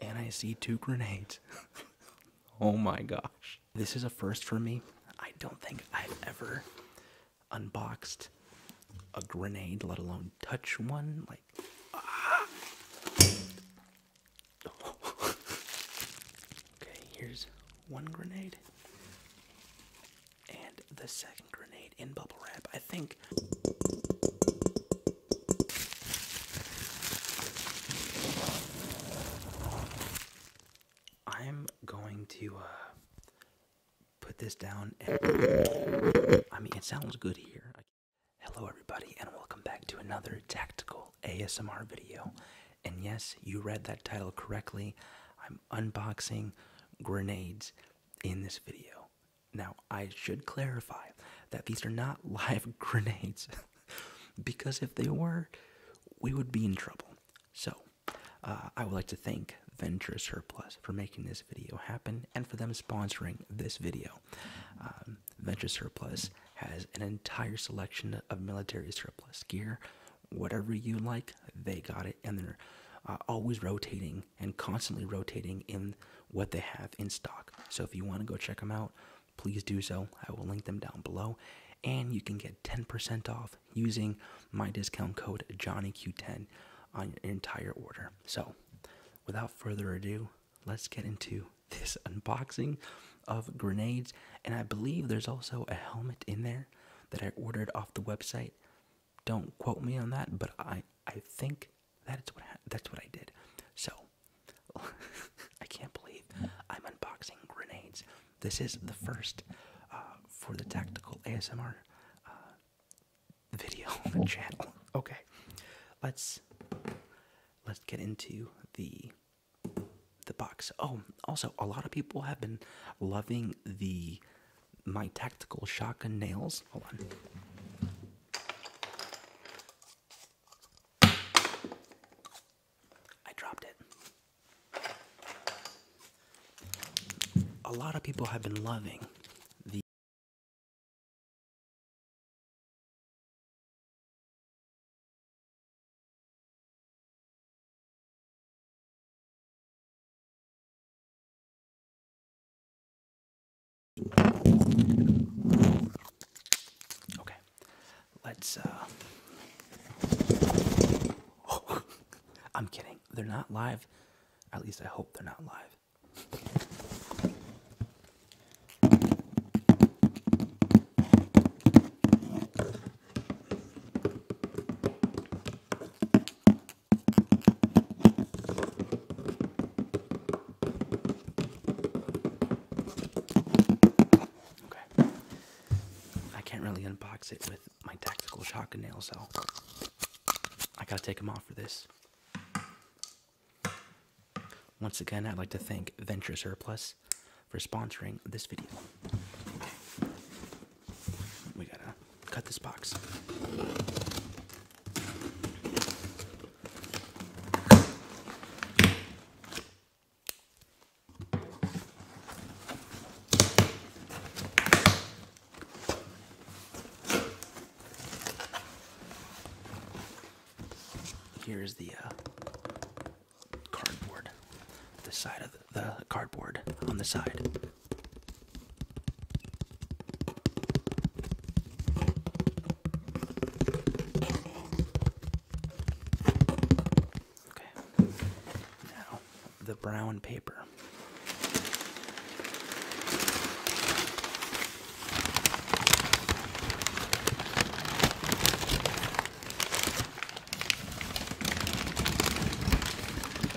and I see two grenades. oh my gosh. This is a first for me. I don't think I've ever unboxed a grenade, let alone touch one. Like, ah. okay, here's one grenade and the second grenade in bubble wrap. I think I'm going to uh, put this down. I mean, it sounds good here. Hello, everybody, and welcome back to another tactical ASMR video. And yes, you read that title correctly. I'm unboxing grenades in this video. Now, I should clarify that these are not live grenades because if they were, we would be in trouble. So, uh, I would like to thank Venture Surplus for making this video happen and for them sponsoring this video. Um, Venture Surplus has an entire selection of military surplus gear. Whatever you like, they got it, and they're uh, always rotating and constantly rotating in what they have in stock. So if you want to go check them out, please do so. I will link them down below. And you can get 10% off using my discount code JohnnyQ10 on your entire order. So without further ado, let's get into this unboxing of grenades. And I believe there's also a helmet in there that I ordered off the website. Don't quote me on that, but I, I think that's what that's what I did. So I can't believe I'm unboxing grenades. This is the first uh, for the tactical ASMR uh, video channel. Okay, let's let's get into the the box. Oh, also a lot of people have been loving the my tactical shotgun nails. Hold on. I dropped it. A lot of people have been loving the Okay, let's. Uh, I'm kidding. They're not live. At least I hope they're not live. Okay. I can't really unbox it with my tactical shotgun nails so I gotta take them off for this. Once again, I'd like to thank Venture Surplus for sponsoring this video. We gotta cut this box. Here's the uh, cardboard, the side of the cardboard on the side. Okay. Now, the brown paper.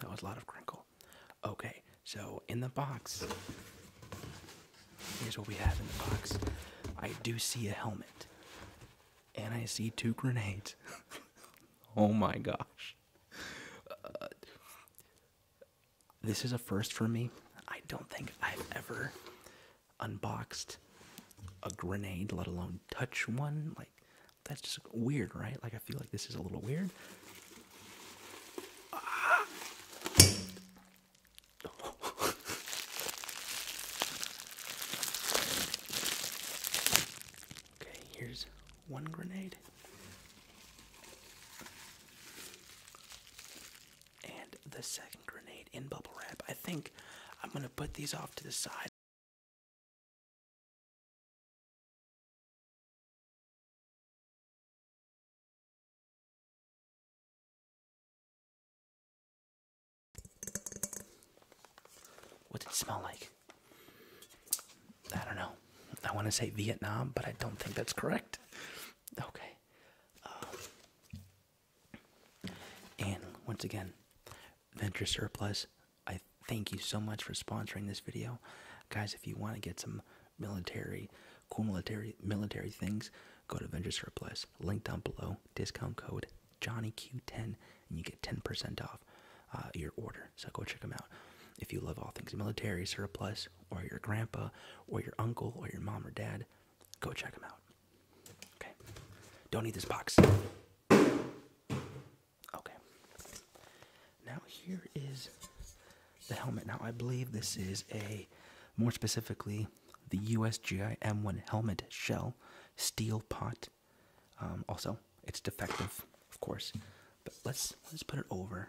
That was a lot of crinkle. Okay, so in the box, here's what we have in the box. I do see a helmet, and I see two grenades. oh my gosh. Uh, this is a first for me. I don't think I've ever unboxed a grenade, let alone touch one that's just weird, right? Like I feel like this is a little weird. okay, here's one grenade. And the second grenade in bubble wrap. I think I'm gonna put these off to the side what did it smell like? I don't know. I want to say Vietnam, but I don't think that's correct. Okay. Um, and once again, Venture Surplus, I thank you so much for sponsoring this video. Guys, if you want to get some military, cool military, military things, go to Venture Surplus. Link down below, discount code JohnnyQ10, and you get 10% off uh, your order. So go check them out. If you love all things military, surplus, or your grandpa, or your uncle, or your mom or dad, go check them out. Okay? Don't eat this box. Okay. Now here is the helmet. Now I believe this is a, more specifically, the USGI M1 helmet shell steel pot. Um, also, it's defective, of course. But let's let's put it over.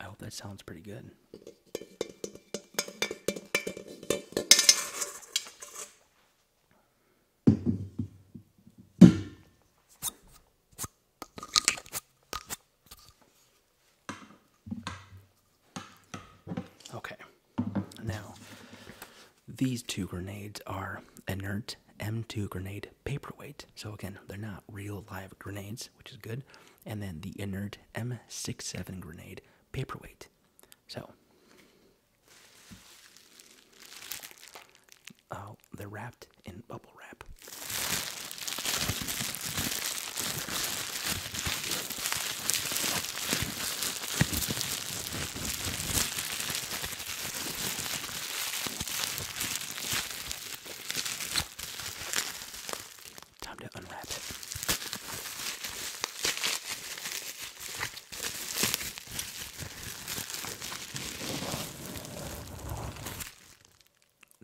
I hope that sounds pretty good. Okay, now these two grenades are inert M2 grenade paperweight. So, again, they're not real live grenades, which is good and then the inert M67 grenade paperweight. So, oh, they're wrapped in bubble wrap. Time to unwrap it.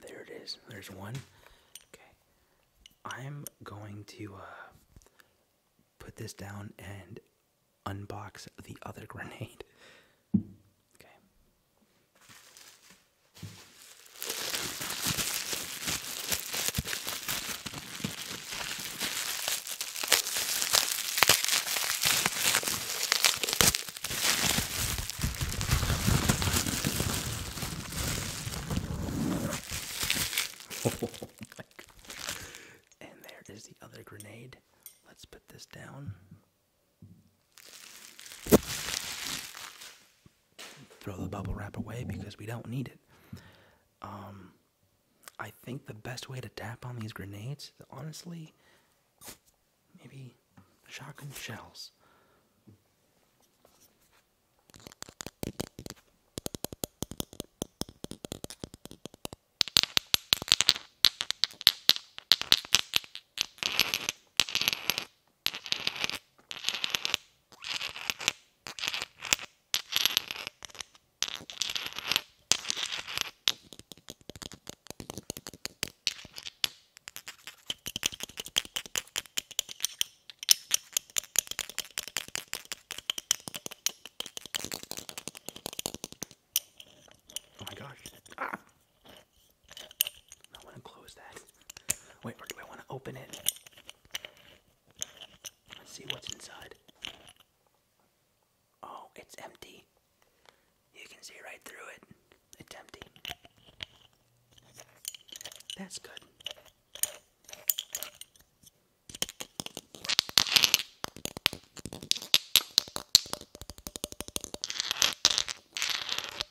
There it is. There's one. Okay. I'm going to uh, put this down and unbox the other grenade. Okay and there is the other grenade. Let's put this down. Throw the bubble wrap away because we don't need it. Um, I think the best way to tap on these grenades, honestly, maybe shotgun shells. Oh my gosh. Ah. I want to close that. Wait, or do I want to open it? Let's see what's inside. Oh, it's empty. You can see right through it. It's empty. That's good.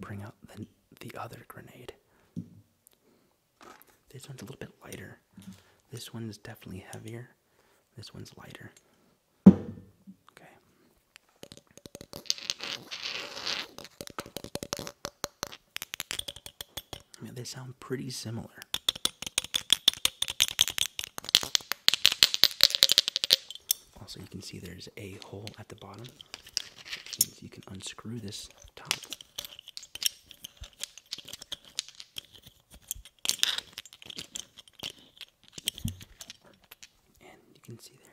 bring out the, the other grenade. This one's a little bit lighter. This one's definitely heavier. This one's lighter. Okay. Yeah, they sound pretty similar. Also, you can see there's a hole at the bottom. Which you can unscrew this top. And you can see there.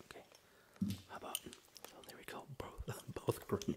Okay. How about so oh, there we go, both both green.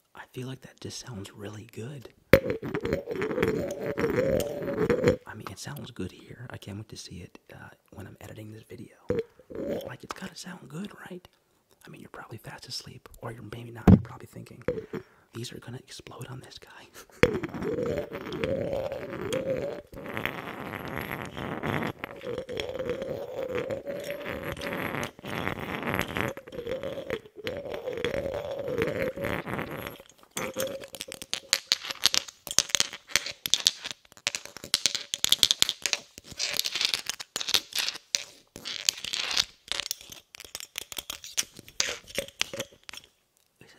I feel like that just sounds really good. I mean, it sounds good here. I can't wait to see it uh, when I'm editing this video. Like, it's gotta sound good, right? I mean, you're probably fast asleep, or you're maybe not. You're probably thinking, these are gonna explode on this guy. This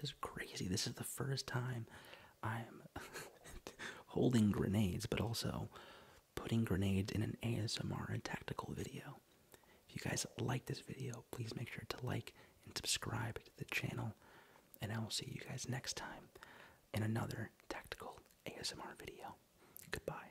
is crazy. This is the first time I'm holding grenades, but also putting grenades in an ASMR and tactical video. If you guys like this video, please make sure to like and subscribe to the channel. And I will see you guys next time in another tactical ASMR video. Goodbye.